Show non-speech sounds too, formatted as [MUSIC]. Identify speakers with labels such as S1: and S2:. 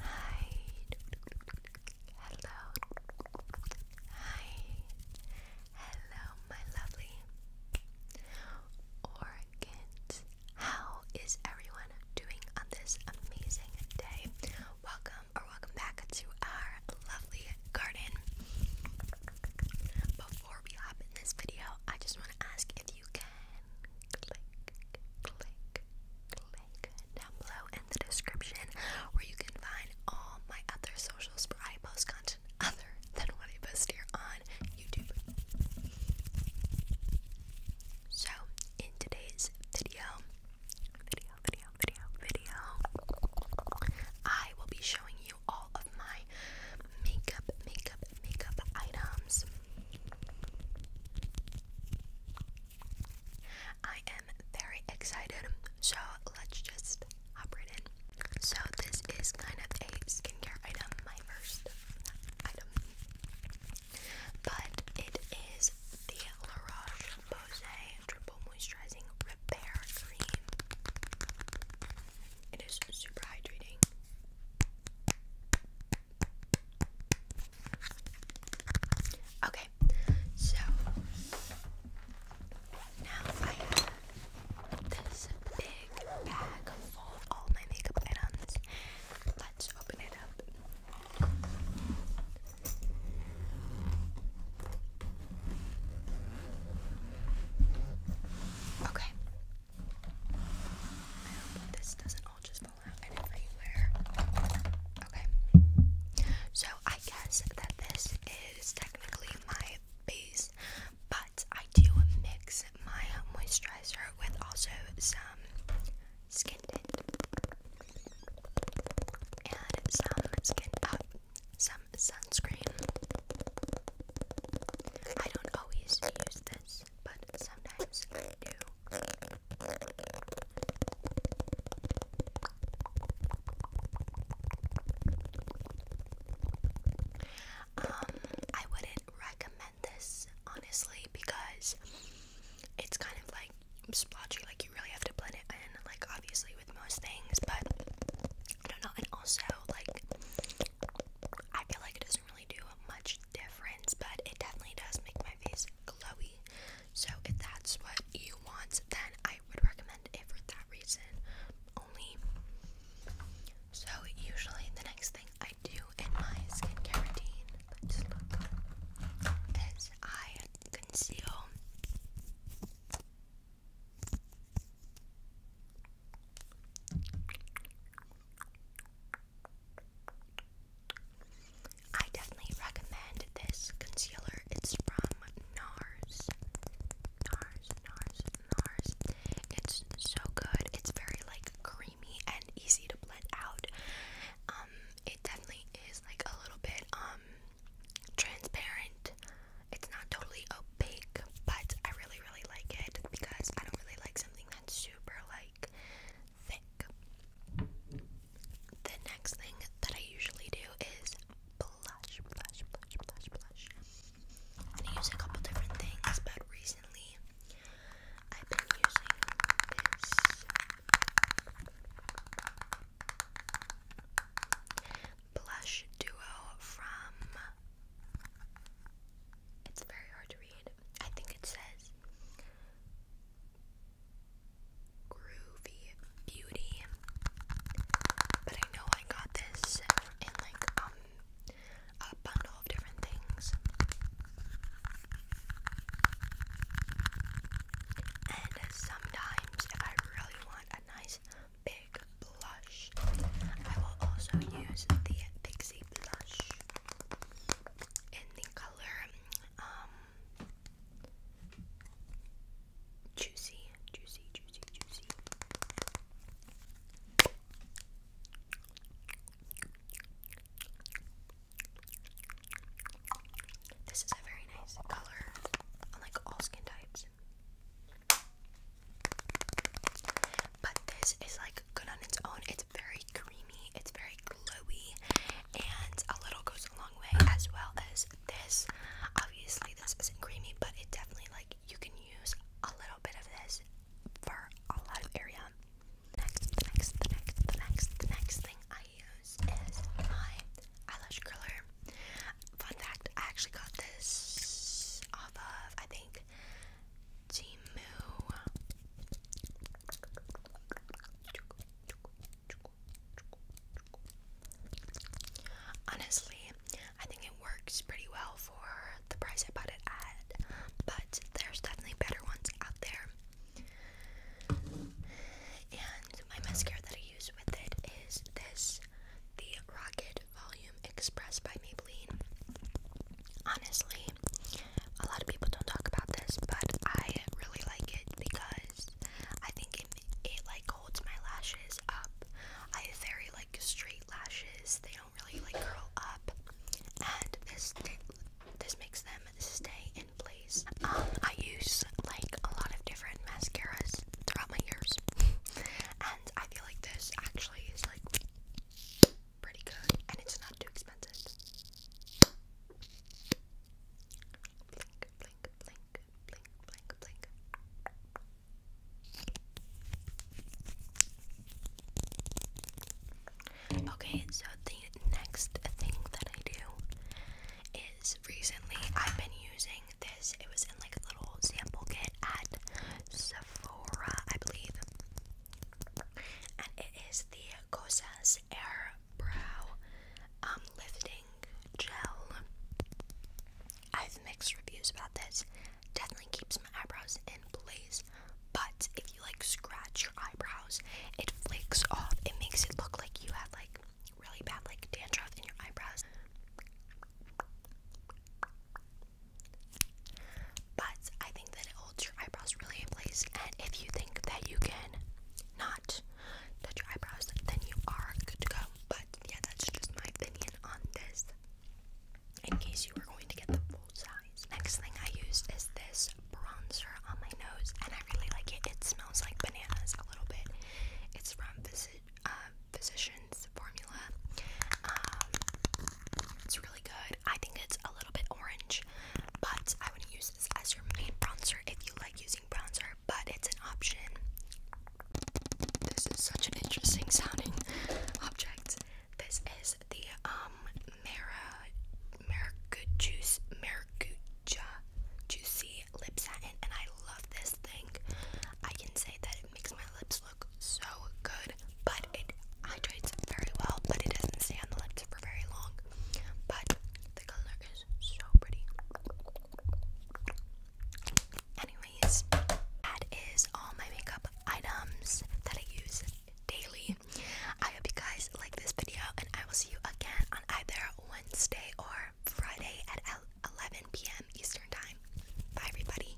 S1: Hi. Hello. Hi. Hello, my lovely organs. How is everyone doing on this amazing day? Welcome or welcome back to our lovely garden. Before we hop in this video, I just want to ask if you can click, click, click down below in the description where you can find all my other socials where I post content other than what I post here on YouTube. So, in today's video, video, video, video, video, I will be showing you all of my makeup, makeup, makeup items. I am very excited, so let's just hop right in. So, this is kind of a skincare item, my first item, but it is the La Roche Posay Triple Moisturizing Repair Cream. It is super hydrating. Okay, so now I have this big bag full of all my makeup items. Let's open it up. Okay, this doesn't all just fall out and Okay. So I guess that this is technically my base, but I do mix my moisturizer with also some skin tint and some skin up, uh, some sunscreen. I don't always use this but sometimes I do. Um, I wouldn't recommend this honestly because it's kind of like splotchy, like you really have to blend it in, like obviously with most things, but I don't know, and also like I feel like it is really do much difference, but it definitely does make my face glowy. So if that's what you want, then I would recommend it for that reason only. So usually the next thing I do in my skincare routine, is I conceal. I definitely recommend this concealer. It's from NARS. NARS, NARS, NARS. It's so good. It's very like creamy and easy to blend out. Um, it definitely is like a little bit um transparent. It's not totally opaque, but I really really like it because I don't really like something that's super like like thick. The next thing that I usually do is blush, blush, blush, blush, blush. And I use a couple different things, but recently I've been using this blush duo from it's very hard to read. I think it says Groovy Beauty. But I know I got this in like um, a bundle of different things. And sometimes if I really want a nice big blush, I will also use the Pixie rosy in the color um, juicy, juicy, juicy, juicy. This is a very nice color on like all skin types. But this is like good on its own. It's very creamy, it's very glowy, and a little goes a long way, as well as this. Obviously, this isn't creamy, but it definitely, like, you can use a little bit of this for a lot of area. Next, the next, the next, the next, the next thing I use is my eyelash curler. Fun fact, I actually got this off of, I think, Honestly, I think it works pretty well for the price I bought it at, but there's definitely better ones out there. And my mascara that I use with it is this the Rocket Volume Express by Maybelline. Honestly, a lot of people don't talk about this, but I really like it because I think it like holds my lashes up. I have very like straight lashes; they don't really like curl up, and this this makes them stay in place. Um, I use like a lot of different mascaras throughout my years, [LAUGHS] and I feel like this actually is like pretty good and it's not too expensive. Okay, so the next thing that I do is recently I've been using this. It was in like a little sample kit at Sephora, I believe and it is the Cosas Air Brow um, Lifting Gel. I have mixed reviews about this. Definitely keeps my eyebrows in place, but if you like scratch your eyebrows, it flakes off. It makes it look like you have like really bad like dandruff in your eyebrows. But I think that it holds your eyebrows really in place. And if you think that you can not touch your eyebrows, then you are good to go. But yeah, that's just my opinion on this. In case you were going to get the full size. Next thing I used is this bronzer on my nose, and I really like it. It smells like bananas a little bit. It's from Visit uh, Physicians Formula. Um, it's really good. I think it's a little bit orange, but I would use this as your main bronzer if you like using bronzer, but it's an option. This is such an interesting sounding object. This is the um mirror, Maracuja juice Maracuja juicy lip satin and I love this thing. I can say that it makes my lips so good, but it hydrates very well, but it doesn't stay on the lips for very long. But the color is so pretty. Anyways, that is all my makeup items that I use daily. I hope you guys like this video, and I will see you again on either Wednesday or Friday at 11 p.m. Eastern Time. Bye, everybody.